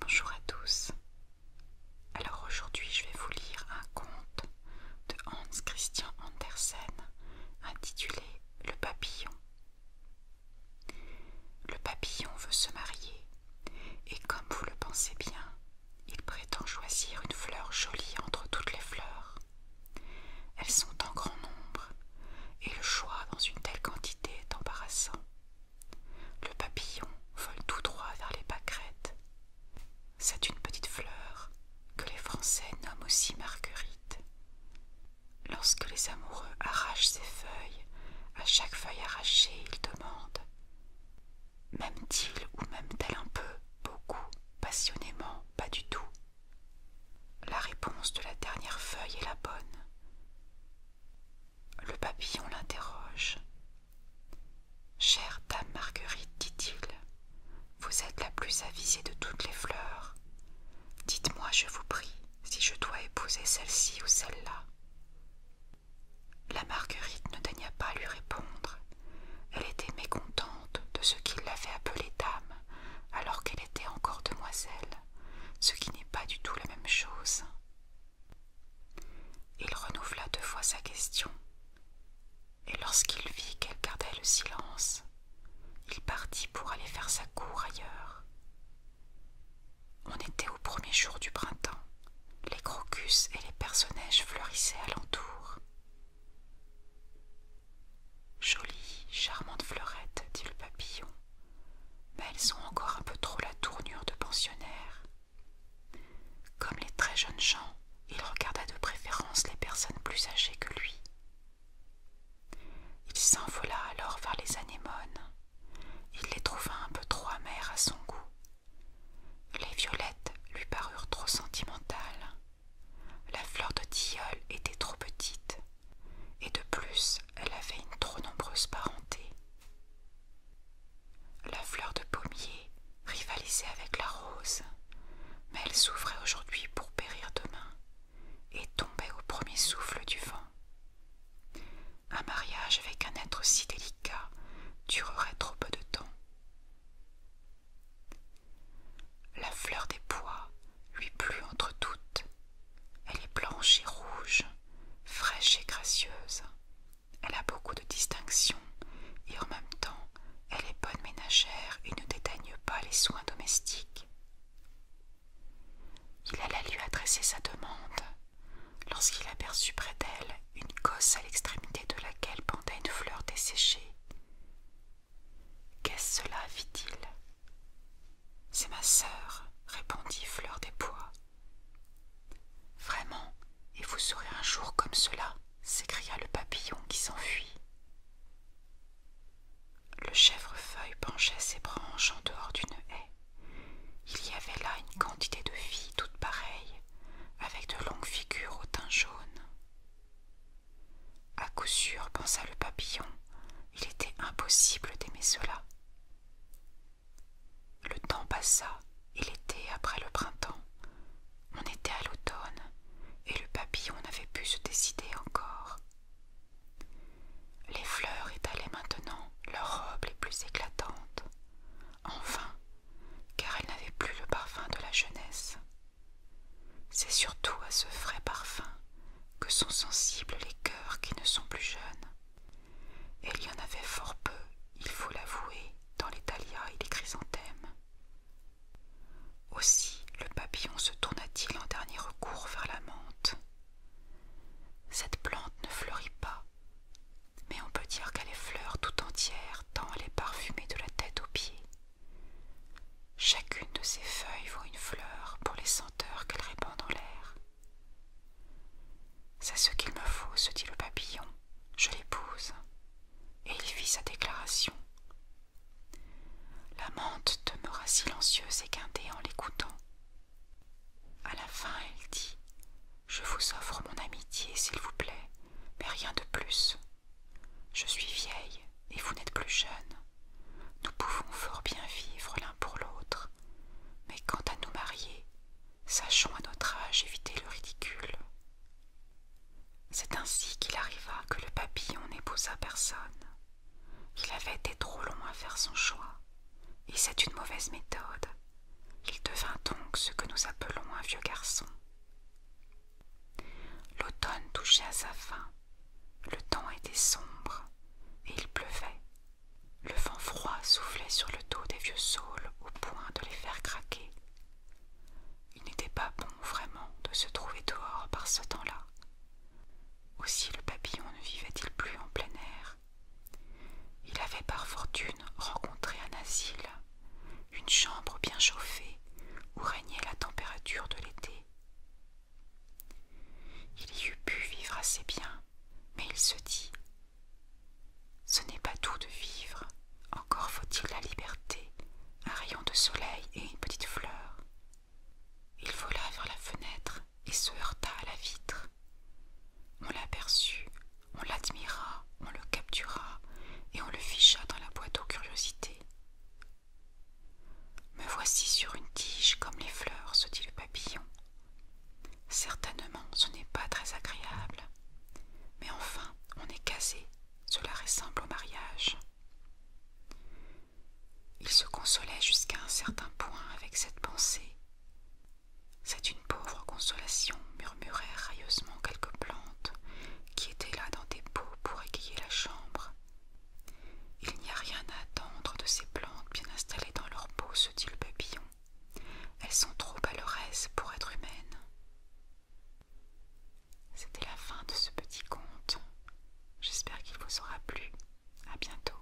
Bonjour à tous. Alors aujourd'hui je vais vous lire un conte de Hans Christian Andersen intitulé Le papillon. Le papillon veut se marier et comme vous le pensez bien, il prétend choisir une fleur jolie entre toutes les fleurs. Elles sont en grand nombre et le choix dans une telle quantité est embarrassant. Le papillon vole tout droit vers les pâquerettes. C'est une petite fleur que les Français nomment aussi marguerite. Lorsque les amoureux arrachent ses feuilles, à chaque feuille arrachée, ils demandent M'aime-t-il ou m'aime-t-elle un peu, beaucoup, passionnément, pas du tout La réponse de la dernière feuille est la bonne. Le papillon l'interroge. Chère dame Marguerite, dit-il, vous êtes la plus avisée de toutes les fleurs. Dites-moi, je vous prie, si je dois épouser celle-ci ou celle-là. La Marguerite ne daigna pas lui répondre. Elle était mécontente de ce qu'il l'avait appelée dame, alors qu'elle était encore demoiselle ce qui n'est pas du tout la même chose. Il renouvela deux fois sa question, et lorsqu'il vit qu'elle gardait le silence, il partit pour aller faire sa cour ailleurs. On était au premier jour du printemps, les crocus et les personnages fleurissaient alentour. Jolies, charmantes fleurette, dit le papillon, mais elles ont encore un peu trop la tournure de pensionnaires. Comme les très jeunes gens, il regarda de préférence les personnes plus âgées que lui. Il s'envola alors vers les anémones. Il les trouva un peu trop amères à son goût. Les violettes lui parurent trop sentimentales. La fleur de tilleul était trop petite, et de plus elle avait une trop nombreuse parenté. La fleur de pommier rivalisait avec la rose, mais elle souffrait aujourd'hui pour périr demain, et tombait au premier souffle du vent. Un mariage avec un être si délicat durerait trop peu de temps. La fleur des pois lui plut entre toutes. Elle est blanche et rouge, fraîche et gracieuse. Elle a beaucoup de distinctions et en même temps, elle est bonne ménagère et ne dédaigne pas les soins domestiques. Il alla lui adresser sa demande lorsqu'il aperçut près d'elle une cosse à l'extrémité de laquelle pendait une fleur desséchée. Qu'est-ce cela fit-il. C'est ma sœur, répondit Fleur des Pois. Vraiment, et vous serez un jour comme cela, s'écria le papillon qui s'enfuit. Le chèvrefeuille penchait ses branches en dehors d'une haie. Il y avait là une quantité de filles toutes pareilles, avec de longues figures au teint jaune. À coup sûr, pensa le papillon, il était impossible d'aimer cela. Le temps passa, il était après le printemps. On était à l'automne, et le papillon n'avait pu se décider encore. Les fleurs étalaient maintenant leurs robes les plus éclatantes. Enfin, car elles n'avaient plus le parfum de la jeunesse. C'est surtout à ce frais parfum que sont sensibles les cœurs qui ne sont plus jeunes. Et il y en avait fort peu, il faut l'avouer, dans les dahlias et les chrysanthèmes. Aussi le papillon se tourna-t-il en dernier recours vers la menthe. Cette plante ne fleurit pas, mais on peut dire qu'elle est fleur tout entière, tant elle est parfumée de la tête aux pieds. Chacune de ces feuilles vaut une fleur pour les senteurs qu'elle répand dans l'air. C'est ce qu'il me faut, se dit le papillon, je l'épouse. Et il fit sa déclaration. La menthe demeura silencieuse et guindée en l'écoutant. À la fin, elle dit Je vous offre mon amitié, s'il vous plaît mais rien de plus. Je suis vieille et vous n'êtes plus jeune. Nous pouvons fort bien vivre l'un pour l'autre, mais quant à nous marier, sachons à notre âge éviter le ridicule. C'est ainsi qu'il arriva que le papillon n'épousa personne. Il avait été trop long à faire son choix, et c'est une mauvaise méthode, il devint donc ce que nous appelons un vieux garçon. L'automne touchait à sa fin. Le temps était sombre et il pleuvait. Le vent froid soufflait sur le dos des vieux saules au point de les faire craquer. Il n'était pas bon vraiment de se trouver dehors par ce temps-là. Aussi le papillon ne vivait-il plus en plein air, il avait par fortune rencontré un asile, une chambre bien chauffée où régnait la température de l'été. Il y eût pu vivre assez bien, mais il se dit Ce n'est pas tout de vivre, encore faut-il la liberté, un rayon de soleil et une petite fleur. Il vola vers la fenêtre et se heurta à la vitre. On l'aperçut on l'admira, on le captura, et on le ficha dans la boîte aux curiosités. Me voici sur une tige comme les fleurs, se dit le papillon. Certainement ce n'est pas très agréable. Mais enfin, on est casé, cela ressemble au mariage. Il se consolait jusqu'à un certain point avec cette pensée, c'est une pauvre consolation, murmurèrent railleusement quelques plantes qui étaient là dans des pots pour égayer la chambre. Il n'y a rien à attendre de ces plantes bien installées dans leur pot, se dit le papillon. Elles sont trop à pour être humaines. C'était la fin de ce petit conte. J'espère qu'il vous aura plu. À bientôt.